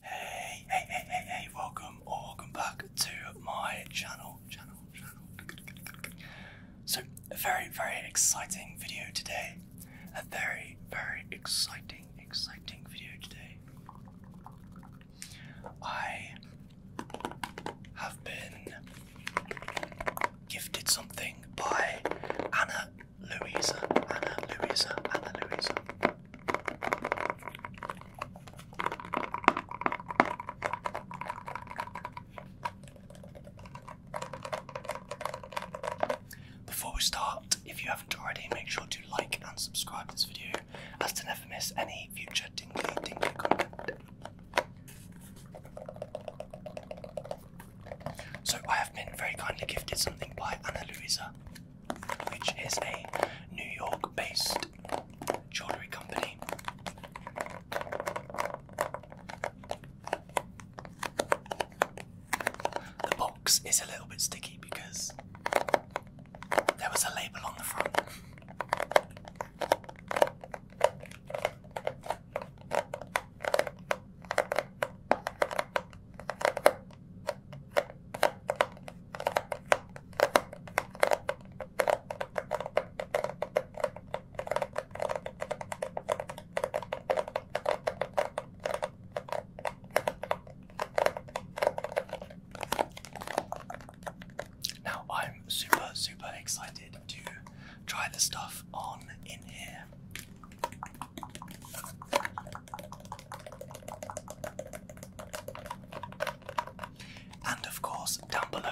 Hey, hey, hey, hey, welcome or welcome back to my channel, channel, channel. So, a very, very exciting video today. A very, very exciting, exciting video today. I have been gifted something by Anna Louisa, Anna, Louisa, Anna, Louisa. Before we start, if you haven't already, make sure to like and subscribe this video as to never miss any future tingly tingly content. So I have been very kindly gifted something by Anna Louisa which is a New York based jewellery company. The box is a little bit sticky because there was a label on the front. Now I'm super, super excited to try the stuff on in here. And of course, down below,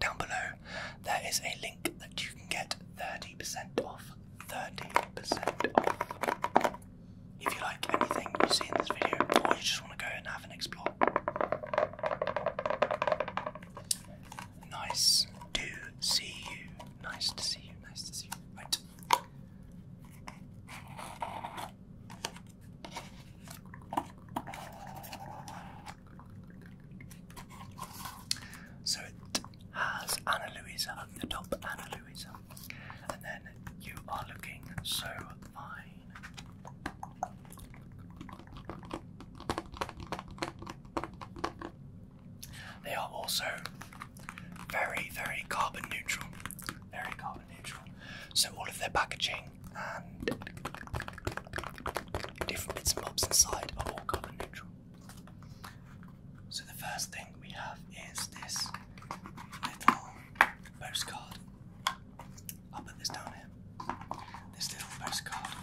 down below, there is a link that you can get 30% off. 30% off. If you like anything you see in this video, or you just want to go and have an explore. Nice to see you. Nice to see you. Nice to see you. Right. So it has Anna Luisa at the top, Anna Luisa, and then you are looking so fine. They are also very, very carbon neutral. Very carbon neutral. So all of their packaging and different bits and bobs inside are all carbon neutral. So the first thing we have is this little postcard. I'll put this down here. This little postcard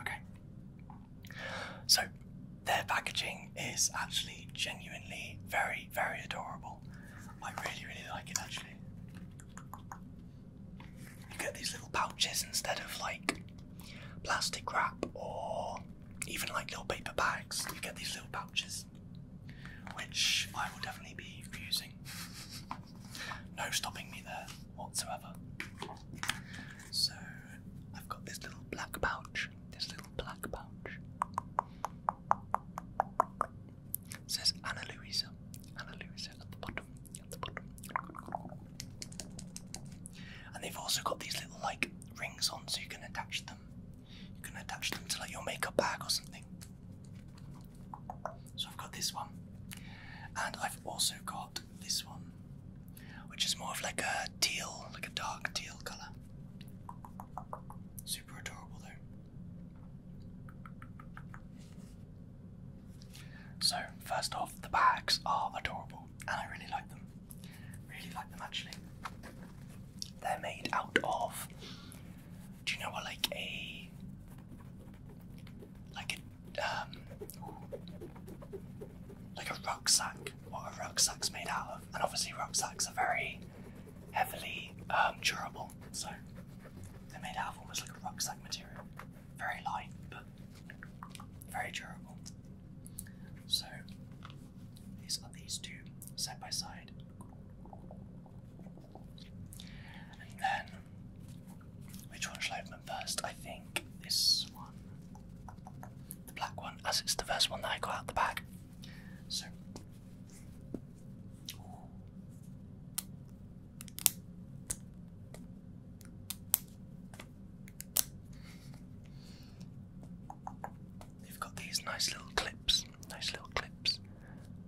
Okay. So their packaging is actually genuinely very, very adorable. I really, really like it actually. You get these little pouches instead of like plastic wrap or even like little paper bags. You get these little pouches, which I will definitely be using. no stopping me there whatsoever. So I've got this little black pouch. This little black pouch. says Anna Louisa. Anna Louisa at the bottom. At the bottom. And they've also got these little like rings on so you can attach them. You can attach them to like your makeup bag or something. So I've got this one. And I've also got this one, which is more of like a teal, like a dark teal colour. Super adorable though. So, first off, the bags are adorable and I really like them. Really like them actually. They're made out of. Do you know what like a like a um, like a rucksack? What a rucksack's made out of, and obviously rucksacks are very heavily um, durable, so they're made out of almost like a rucksack material. Very light, but very durable. So these are these two side by side. And then which one shall I open first? I think this one. The black one, as it's the first one that I got out the bag. So They've got these nice little clips, nice little clips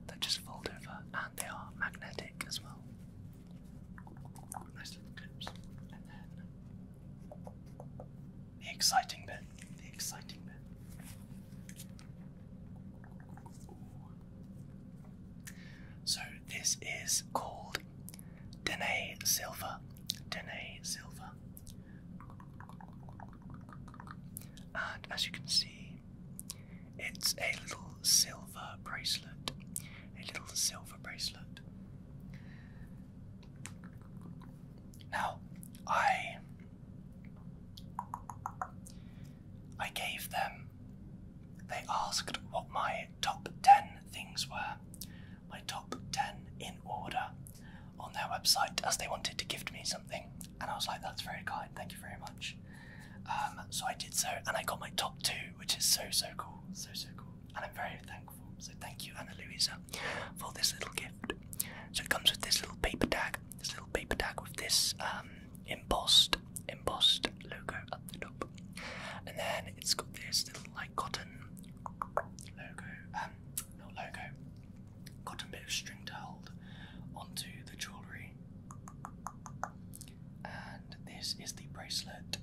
that just fold over and they are magnetic as well. Nice little clips. And then the exciting bit, the exciting bit. So this is called Danae Silver. Danae Silver. And as you can see, it's a little silver bracelet. A little silver bracelet. Now, I I gave them they asked what my top 10 things were, my top 10 in order on their website as they wanted to gift me something. And I was like, that's very kind, thank you very much. Um, so I did so, and I got my top two, which is so, so cool, so, so cool. And I'm very thankful. So thank you, Anna Luisa, for this little gift. So it comes with this little paper tag, this little paper tag with this um, embossed embossed logo at the top. And then it's got this little like cotton logo, um, not logo, cotton bit of string to hold onto the jewellery. And this is the bracelet.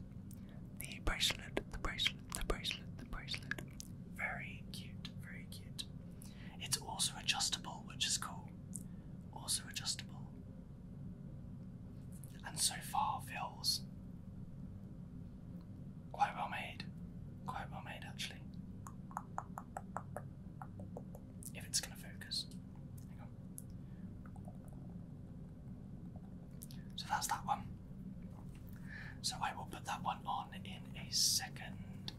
The bracelet, the bracelet, the bracelet, the bracelet. Very cute, very cute. It's also adjustable, which is cool. Also adjustable and so far feels quite well made. Quite well made, actually. If it's going to focus. So that's that one. So I will put that one on in a second.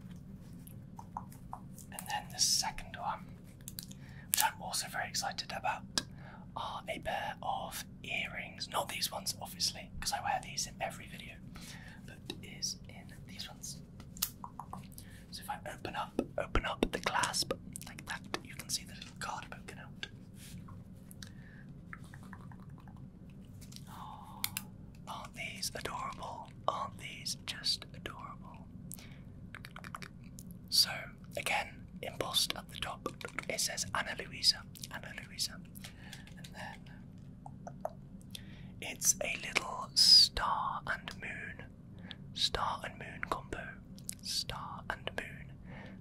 And then the second one which I'm also very excited about, are a pair of earrings. Not these ones, obviously, because I wear these in every video, but is in these ones. So if I open up, open up the clasp like that, you can see the little card poking out. aren't these adorable? Aren't these just adorable? So again, embossed at the top, it says Anna Luisa, Anna Luisa, and then it's a little star and moon, star and moon combo, star and moon.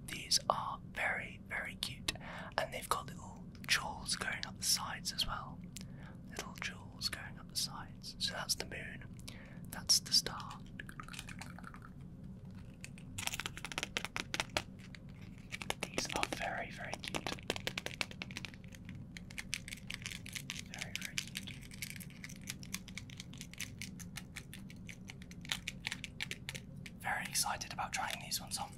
These are very very cute, and they've got little jewels going up the sides as well. Little jewels going up the sides. So that's the moon. That's the star. These are very, very cute. Very, very cute. Very excited about trying these ones on.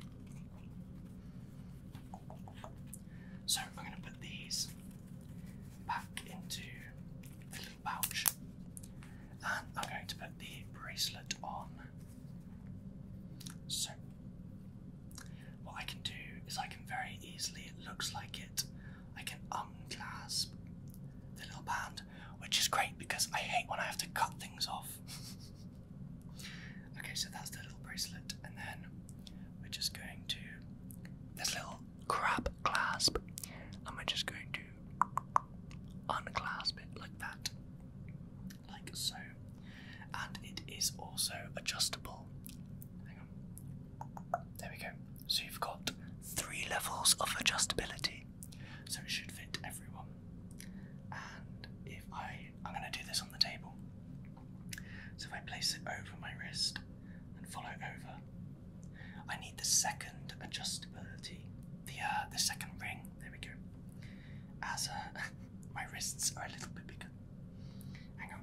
So I'm going to put these back into the little pouch. And I'm going to put the bracelet on. So, what I can do is I can very easily, it looks like it, I can unclasp the little band, which is great because I hate when I have to cut things off. okay, so that's the little bracelet, and then we're just going to. this little crab clasp, and we're just going to unclasp it like that, like so. And it is also adjustable. Hang on. There we go. So you've got three levels of adjustability. So it should fit everyone. And if I, I'm going to do this on the table. So if I place it over my wrist and follow over, I need the second adjustability, the uh, the second ring. There we go. As uh, my wrists are a little bit bigger. Hang on.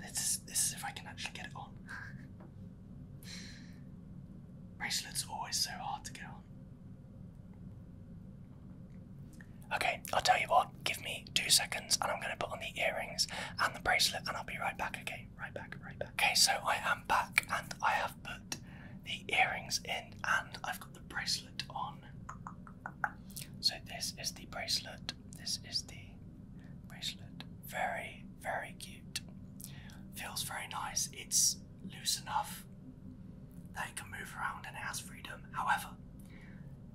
This is, this is if I can actually get it on. Bracelets are always so hard to get on. Okay, I'll tell you what, give me two seconds and I'm gonna put on the earrings and the bracelet and I'll be right back, okay? Right back, right back. Okay, so I am back and I have put the earrings in and I've got the bracelet on. So this is the bracelet. This is the bracelet. Very, very cute. Feels very nice. It's loose enough that it can move around and it has freedom. However,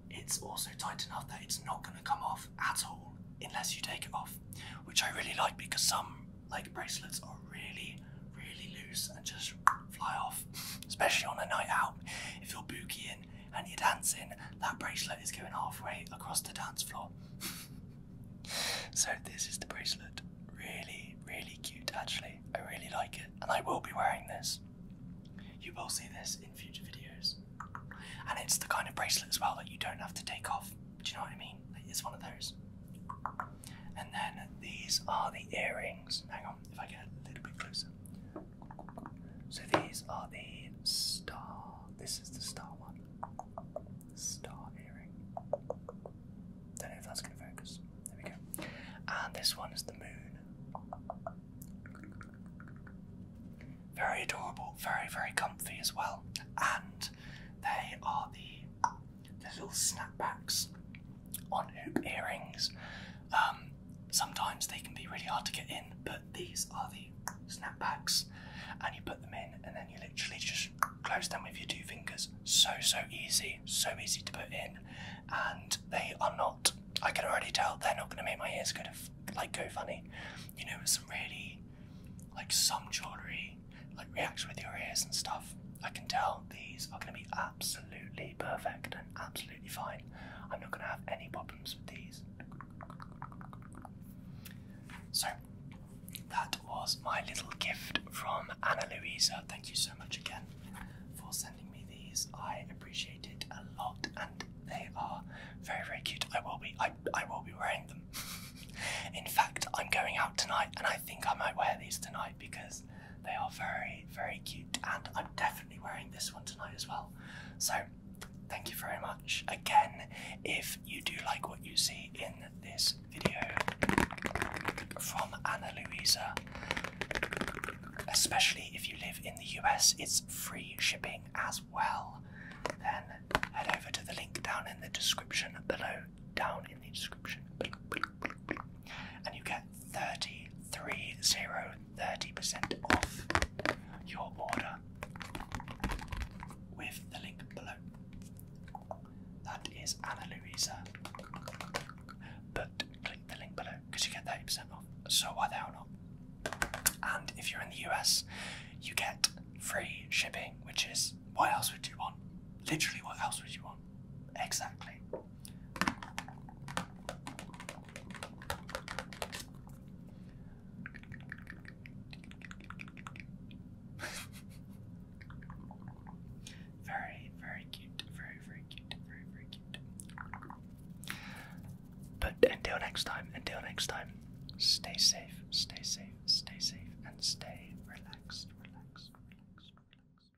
it's also tight enough that it's not going to come off at all unless you take it off, which I really like because some like bracelets are really, really loose and just fly off, especially on a night out. If you're boogieing and you're dancing, that bracelet is going halfway across the dance floor. so this is the bracelet. Really, really cute actually. I really like it and I will be wearing this. You will see this in future videos. And it's the kind of bracelet as well that you don't have to take off. Do you know what I mean? it's one of those. And then these are the earrings. Hang on, if I get a little bit closer. So these are the star. This is the star one. Star earring. Don't know if that's going to focus. There we go. And this one is the moon very adorable, very, very comfy as well. And they are the, the little snapbacks on hoop earrings. Um, sometimes they can be really hard to get in, but these are the snapbacks. And you put them in, and then you literally just close them with your two fingers. So, so easy, so easy to put in. And they are not I can already tell they're not going to make my ears go to, like go funny. You know, with some really like some jewelry like reacts with your ears and stuff. I can tell these are going to be absolutely perfect and absolutely fine. I'm not going to have any problems with these. So that was my little gift from Anna Louisa. Thank you so much again for sending these. I appreciate it a lot, and they are very, very cute. I will be, I, I will be wearing them. In fact, I'm going out tonight, and I think I might wear these tonight because they are very, very cute, and I'm definitely wearing this one tonight as well. So, thank you very much again. If you do like what you see in this video from Anna Luisa, especially if you live in the US, it's free shipping as well. Then head over to the link down in the description below, down in the description and you get 30, 30, 30% off your order with the link below. That is Anna Luisa. But the link below because you get 30% off. So why the hell not? And if you're in the US, you get free shipping, which is what else would you want? Literally, what else would you want? Exactly. Very, very cute. Very, very cute. Very, very cute. But until next time, until next time, stay safe, stay safe, stay safe, and stay relaxed, relaxed, relaxed, relaxed.